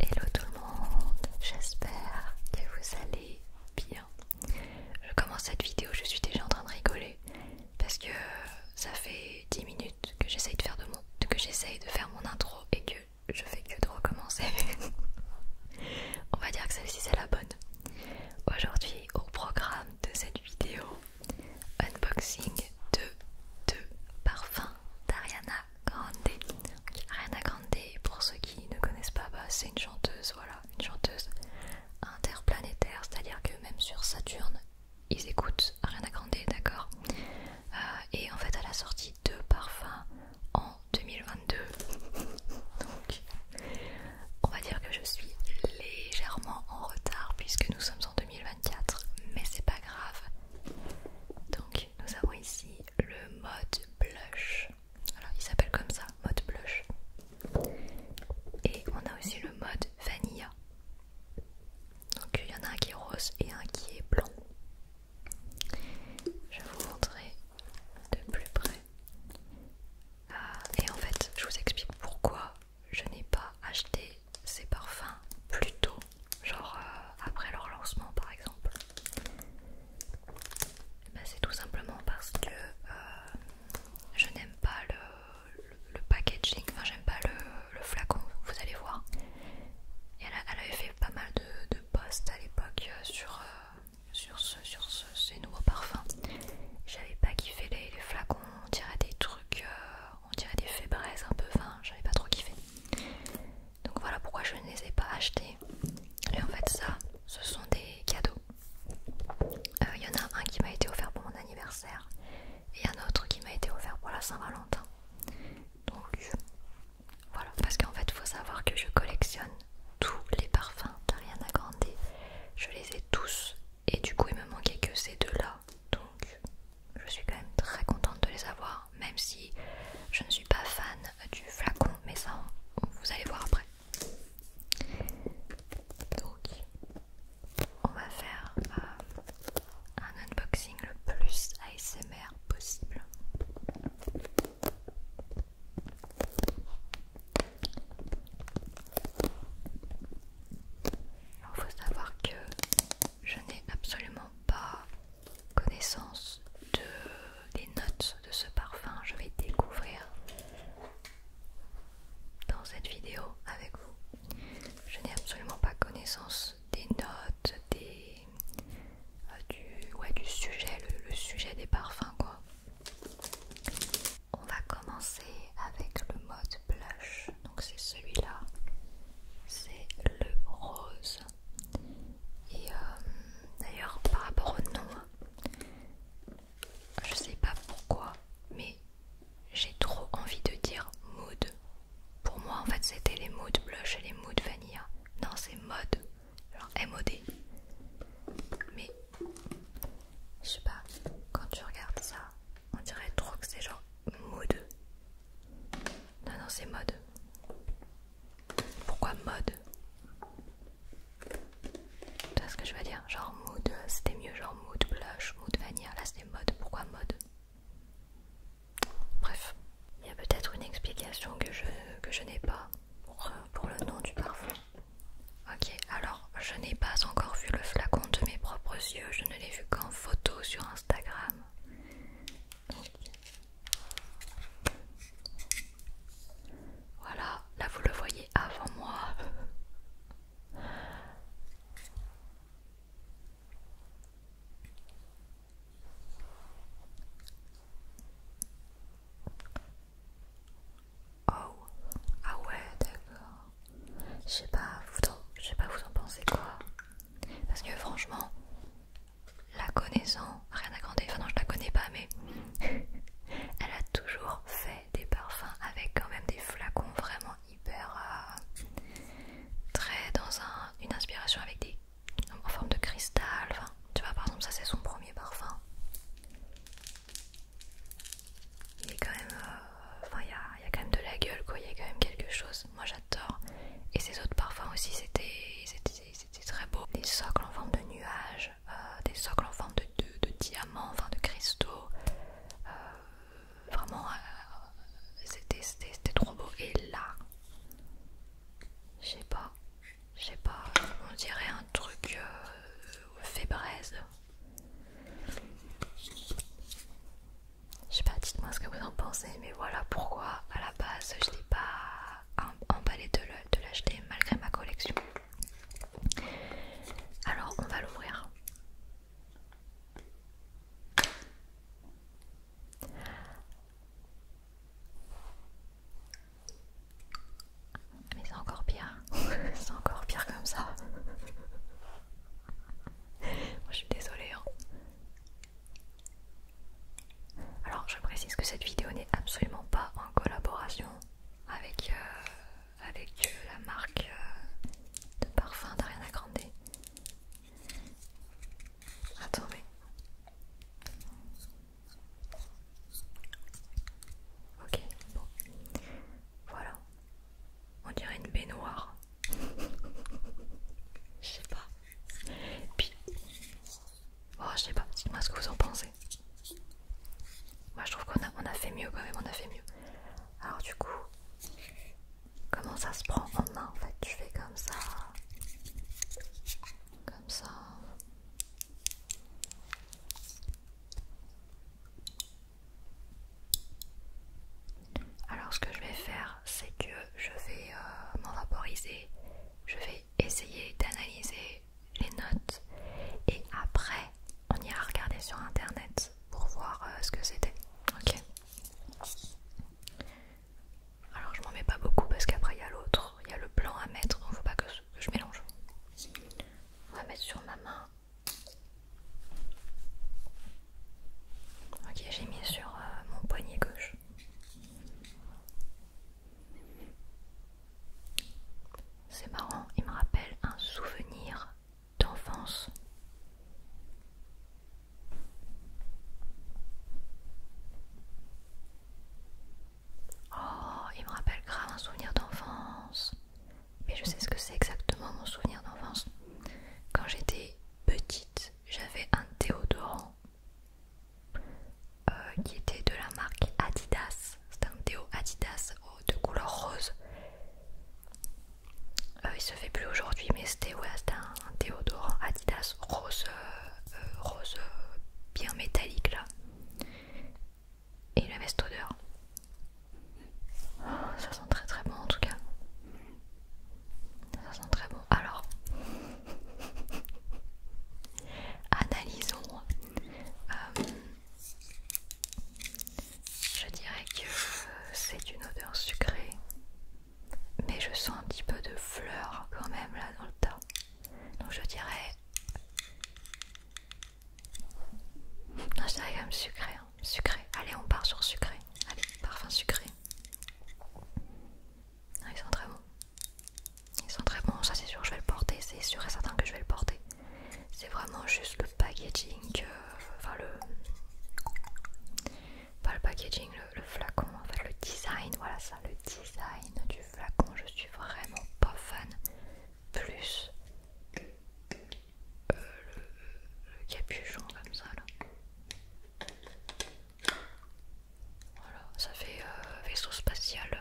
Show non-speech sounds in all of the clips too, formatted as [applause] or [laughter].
Hello tout le monde, j'espère que vous allez bien. Je commence cette vidéo, je suis déjà en train de rigoler parce que ça fait 10 minutes que j'essaye de faire de mon que de faire mon intro et que je fais que de recommencer. [laughs] on va dire que celle-ci c'est la bonne. Aujourd'hui au programme de cette vidéo, unboxing de deux parfums d'Ariana Rien à Grande, pour ceux qui ne connaissent pas, bah, c'est une chanteuse, voilà, une chanteuse interplanétaire, c'est-à-dire que même sur Saturne, ils écoutent à Grande, d'accord euh, Et en fait, elle a sorti deux parfums en 2022. Donc, on va dire que je suis légèrement en retard puisque nous sommes en 2024, mais c'est pas grave nous avons ici le mode blush. Alors il s'appelle comme ça, mode blush. Et on a aussi le mode vanilla. Donc il y en a un qui est rose et un qui est blanc. Je vous montrerai de plus près. Ah, et en fait, je vous explique pourquoi je n'ai pas acheté ces parfums plus tôt genre euh, après leur lancement par exemple bah, c'est tout simplement parce que euh, je n'aime pas le, le, packaging, enfin j'aime pas le, flacon, vous allez voir. Et elle, avait fait pas mal de, postes posts à l'époque euh, sur, sur, ce, sur ces nouveaux parfums. J'avais pas kiffé les, flacons, on dirait des trucs, on dirait des fébraises un peu, enfin j'avais pas trop kiffé. Donc voilà pourquoi je ne les ai pas achetés. Et en fait ça, ce sont des cadeaux. Euh, il y en a un qui m'a été offert pour mon anniversaire et un autre qui m'a été offert pour la Saint-Valentin. Donc voilà, parce qu'en fait il faut savoir que je collectionne tous les parfums à Grande. Je les ai tous et du coup il me manquait que ces deux-là. Donc je suis quand même très contente de les avoir, même si je ne suis pas fan du flacon, mais ça, vous allez voir après. Donc, on va faire euh, un unboxing le plus ASMR possible. Il faut savoir que je n'ai absolument pas connaissance des notes de ce parfum. Je vais découvrir dans cette vidéo avec vous. Je n'ai absolument pas connaissance des notes, des, euh, du, sujet, le sujet des parfums quoi. On va commencer avec le mode blush, donc c'est celui-là, c'est le rose. Et euh, d'ailleurs, par rapport au nom, hein, je sais pas pourquoi, mais j'ai trop envie de dire mood. Pour moi, en fait, c'était les Mood blush et les Mood vanilla. Non, c'est mode, genre MOD. Mais je sais pas, quand tu regardes ça, on dirait trop que c'est genre mood. Non, non, c'est mode. Pourquoi mode Tu vois ce que je veux dire Genre mood, euh, c'était mieux genre mood blush, mood vanilla, là c'était mode, pourquoi mode Bref, il y a peut-être une explication que je, que je n'ai pas euh, pour le nom du parfum. Ok, alors je n'ai pas encore vu le flacon de mes propres yeux, je ne l'ai vu qu'en photo sur Instagram. Voilà, là vous le voyez avant moi. Oh, ah ouais, d'accord. Je sais pas, vous en, je sais pas vous en pensez quoi. Parce que franchement, la connaissant, rien à grandir, enfin non je la connais pas mais [laughs] elle a toujours fait des parfums avec quand même des flacons vraiment hyper euh, très dans une inspiration avec des en forme de cristal, enfin, tu vois par exemple ça c'est son premier parfum. Il est quand même, euh, enfin il y a quand même de la gueule quoi, il y a quand même quelque chose, moi j'adore. Et ses autres parfums aussi c'était c'était très beau. Des socles en forme de nuages, euh, des socles en forme de, diamants en diamants, de cristaux. Euh, vraiment, euh, c'était trop beau. Et là, je sais pas, je sais pas, on dirait un truc euh, Je sais pas, dites-moi ce que vous en pensez, mais voilà pourquoi à la base je n'ai pas emballé de l'acheter malgré ma collection. Alors on va l'ouvrir. Mais c'est encore pire, [laughs] c'est encore pire comme ça. [laughs] Moi je suis désolée. Hein. Alors je précise que cette vidéo n'est absolument pas en collaboration avec, euh, avec euh, la marque euh, de parfum d'Ariana Grande. Attends mais... Ok, bon. Voilà. On dirait une baignoire. [laughs] Je sais pas. Puis, Oh, je sais pas, dites-moi ce que vous en pensez. Moi, je trouve qu'on a, a fait mieux quand même, on a fait mieux. Alors, du coup, comment ça se prend en main en fait Tu fais comme ça, comme ça. Alors, ce que je vais faire, c'est que je vais euh, m'en vaporiser, je essayer d'analyser les notes et après on ira regarder sur internet pour voir euh, ce que c'était. Ok. Alors je m'en mets pas beaucoup parce qu'après il y a l'autre, il y a le blanc à mettre, il faut pas que je mélange. On va mettre sur ma main. Ok, j'ai mis sur euh, mon poignet gauche. C'est marrant, il me rappelle un souvenir d'enfance. Oh, il me rappelle grave un souvenir d'enfance. Mais je sais ce que c'est exactement mon souvenir d'enfance. Quand j'étais petite, j'avais un déodorant euh, qui était de la marque Adidas. c'était un théo Adidas oh, de couleur rose. Euh, il se fait plus aujourd'hui, mais c'était un déodorant Adidas rose, euh, rose bien métallique là. Et il avait cette odeur. Oh, ça sent très très bon en tout cas. Ça sent très bon. Alors, Analysons. Euh, je dirais que c'est une odeur sucrée, mais je sens un petit peu de fleurs quand même là dans le tas. Donc je dirais... Non, je dirais quand même sucré. Hein. Sucré. Allez, on part sur sucré. Allez, parfum sucré ils sont très bons. Ils sont très bons, ça c'est sûr, je vais le porter, c'est sûr et certain que je vais le porter. C'est vraiment juste le packaging, euh, enfin le. Pas le packaging, le, flacon, enfin le design, voilà ça, le design du flacon, je suis vraiment pas fan. Plus euh, le capuchon comme ça là. Voilà, ça fait euh, vaisseau spatial. Euh.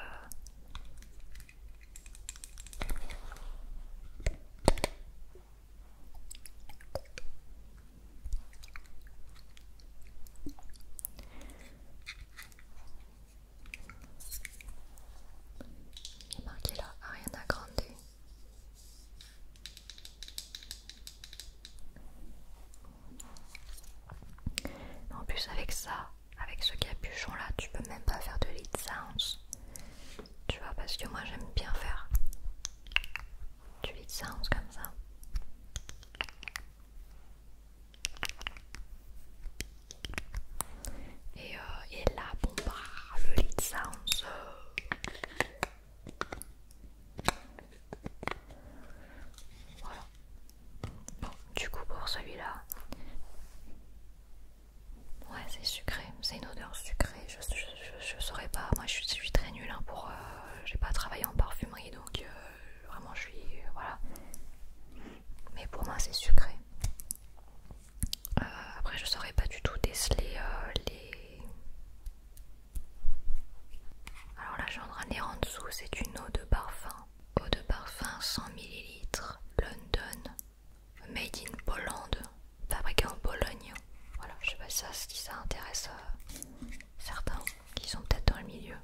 Il est marqué là, Ariana Grande en plus avec ça, avec ce capuchon là, tu peux même pas faire de lead sounds. Tu vois, parce que moi j'aime bien faire du lead sounds comme ça. Euh, et, là, bon bah, le lead sounds... Voilà. Bon, du coup pour celui-là, ouais c'est sucré, c'est une odeur sucrée. Je, saurais pas, moi je, suis très nulle hein, pour, euh, j'ai pas travaillé en parfumerie donc euh, vraiment je suis, euh, voilà. Mais pour moi c'est sucré. après je saurais pas du tout déceler les... Alors là, en ai en dessous, c'est une eau de parfum eau de parfum 100 ml London, made in Poland, fabriqué en Pologne. Voilà, je sais pas si ça, intéresse euh, certains qui sont peut-être dans le milieu.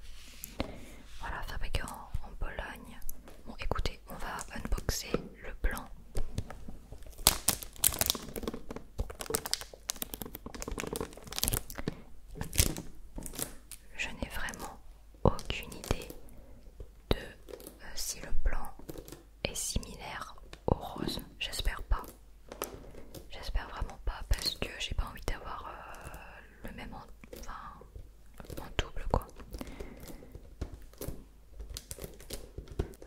Voilà, fabriqué en, en Pologne. Bon, écoutez, on va unboxer le plan je n'ai vraiment aucune idée de euh, si le blanc est similaire au rose. J'espère pas. J'espère vraiment pas parce que j'ai pas envie d'avoir euh, le même en, en double quoi.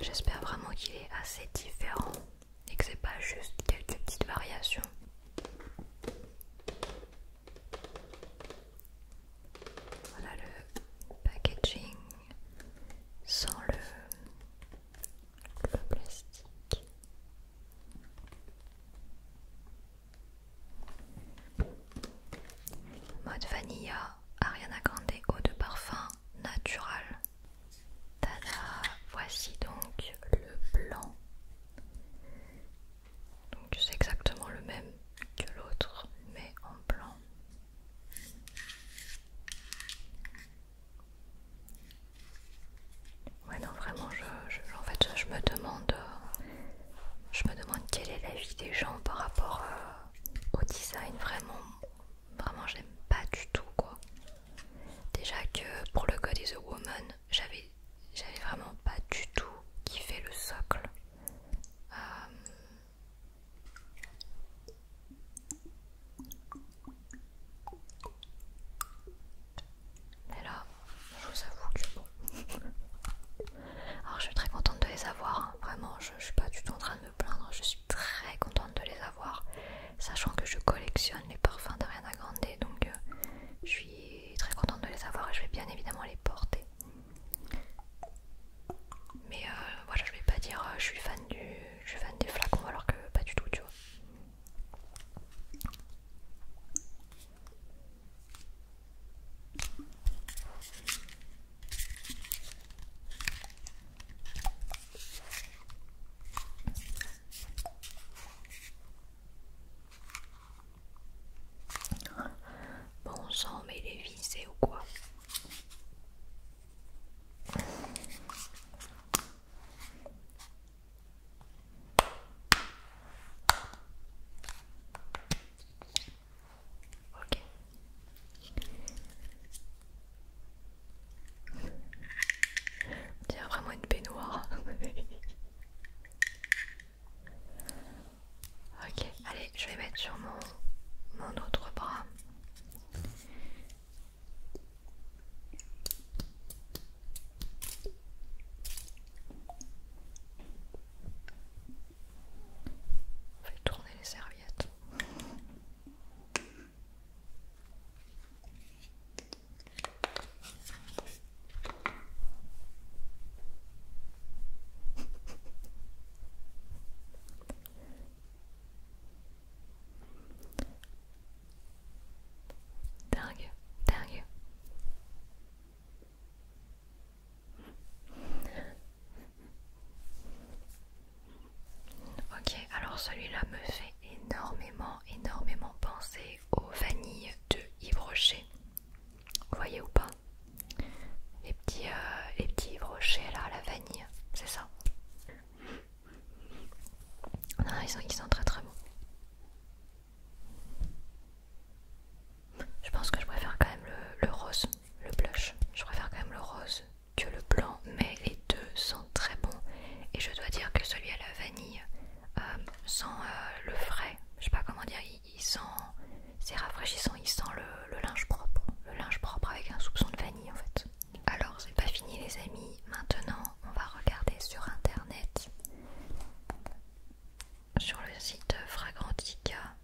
J'espère vraiment qu'il est assez différent et que c'est pas juste quelques petites variations. Voilà le packaging sans le, plastique. Mode vanilla, Ariana Grande eau de parfum naturel. Tada, voici donc le blanc. Donc c'est exactement le même que l'autre, mais en blanc. Ouais non vraiment je, en fait je me demande euh, je me demande quelle est l'avis des gens par rapport euh, au design vraiment vraiment j'aime pas du tout quoi déjà que pour le God is a Woman j'avais j'avais vraiment pas du tout kiffé le socle. Mais euh. là, je vous avoue que bon. Alors, je suis très contente de les avoir, hein. vraiment, je, suis pas du tout en train de me plaindre, je suis très contente de les avoir, sachant que je collectionne les parfums de à Grande, donc euh, je suis très contente de les avoir et je vais bien évidemment les porter. Mais euh, voilà, je vais pas dire euh, je suis fan du je suis fan des flacons alors que pas du tout, tu vois. Bon sang, mais les viser ou quoi Ok. vraiment une baignoire. [laughs] Ok, allez, je vais mettre sur mon, autre bras. On fait tourner les serviettes. Dingue, dingue. Ok, alors celui-là me fait énormément, énormément penser aux vanilles de Yves vous voyez ou pas les petits, euh, les brochets là à la vanille, c'est ça ils, sont, sont très très bons. Je pense que je préfère quand même le, le rose, le blush. Je préfère quand même le rose que le blanc, mais les deux sont très bons. Et je dois dire que celui à la vanille euh, sans euh, le frais, je sais pas comment dire, il, sent, c'est rafraîchissant, il sent le, linge propre, le linge propre avec un soupçon de vanille en fait. Alors c'est pas fini les amis, maintenant on va regarder sur internet, sur le site Fragrantica,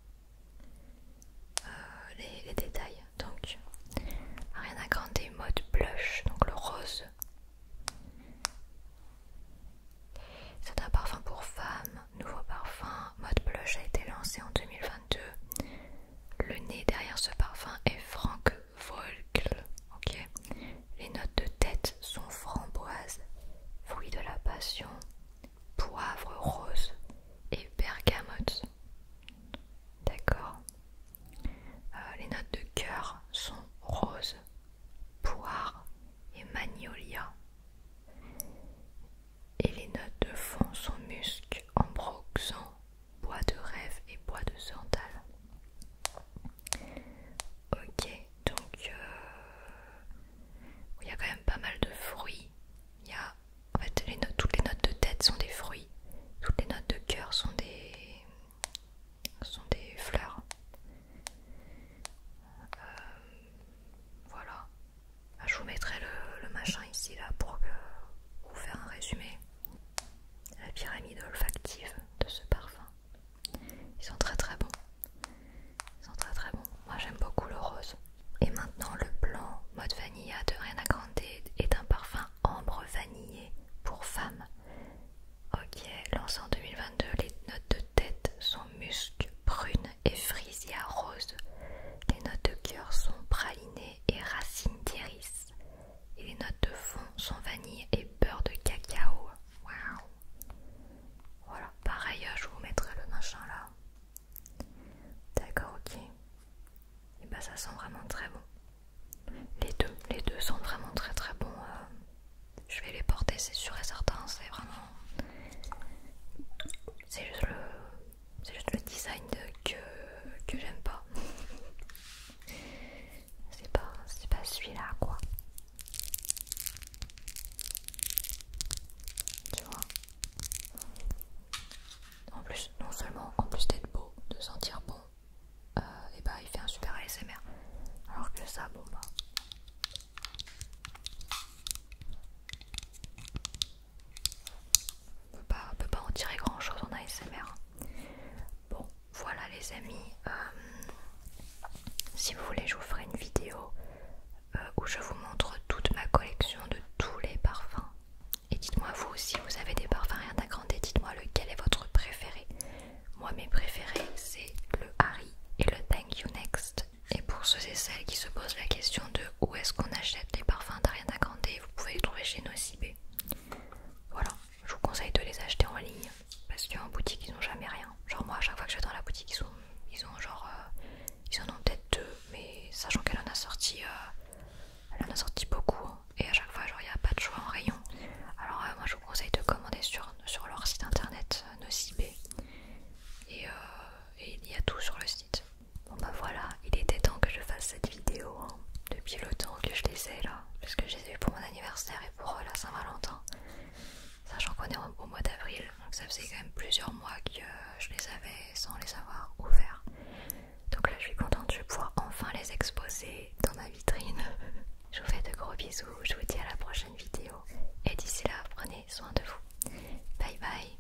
euh, les, détails. Donc Rien à Grande mode blush, donc le rose. C'est un parfum pour femmes, nouveau parfum, mode blush a été lancé en 2022. Le nez derrière ce parfum est Frank Volkel. Les notes de tête sont framboise, fruit de la passion, poivre rose et bergamote. D'accord. Euh, les notes de cœur sont rose, poire et magnolia. Et les notes de fond sont musc, Ambroxan, bois de rêve et bois de santal. Ok, donc euh, il y a quand même pas mal de fruits. Il y a en fait les notes, toutes les notes de tête sont des fruits, toutes les notes de cœur sont des ce sont des fleurs. Euh, voilà. Bah, je vous mettrai le, machin ici là pour que, vous faire un résumé. La pyramide olfactive de ce parfum. Ils sont très très bons. Ils sont très très bons. Moi j'aime beaucoup le rose. Et maintenant le blanc mode vanilla de à est un parfum ambre vanillé pour femme. Ok, lancé en 2022, les notes de tête sont musc, prune et frisia rose. Les notes de cœur sont praliné et racine d'iris. Et les notes de fond sont vanille et beurre de cacao. Waouh! Voilà, pareil, hein, je vous mettrai le machin là. D'accord, ok. Et eh bah, ben, ça sent vraiment très bon. Les deux, les deux sont vraiment très très bon. Euh, je vais les porter, c'est sûr et certain. C'est vraiment. C'est juste le. design que, j'aime pas. C'est pas, pas celui-là quoi. Tu vois En plus, non seulement en plus d'être beau, de sentir bon, euh, et bah il fait un super ASMR. Alors que ça, bon bah. On ne peut pas en tirer grand chose en ASMR. Bon, voilà les amis. Euh, si vous voulez, je vous ferai une vidéo euh, où je vous montre toute ma collection de tous les parfums. Et dites-moi vous aussi, vous avez des parfums rien et dites-moi lequel est votre préféré. Moi, mes préférés, c'est le Harry et le Thank You Next. Et pour ceux et celles qui se posent la question de où est-ce qu'on achète les parfums d'Ariana Grande, vous pouvez les trouver chez Nocibé. Voilà, je vous conseille de les acheter en ligne parce qu'en boutique ils n'ont jamais rien. Genre, moi, à chaque fois que je vais dans la boutique, ils, ont genre. Euh, en ont peut-être deux, mais sachant qu'elle en a sorti. Euh, elle en a sorti beaucoup hein. et à chaque fois, genre, il n'y a pas de choix en rayon. Alors, euh, moi, je vous conseille de commander sur, leur site internet Nocibé. Euh, et, il y a tout sur le site. Bon bah voilà, il était temps que je fasse cette vidéo hein, depuis le temps que je les ai là, puisque que je eu pour mon anniversaire et pour euh, la Saint-Valentin, sachant qu'on est au, mois d'avril, donc ça faisait quand même plusieurs mois que euh, je les avais sans les avoir ouverts. Donc là je suis contente, je vais pouvoir enfin les exposer dans ma vitrine. [laughs] je vous fais de gros bisous, je vous dis à la prochaine vidéo. Et d'ici là, prenez soin de vous. Bye bye.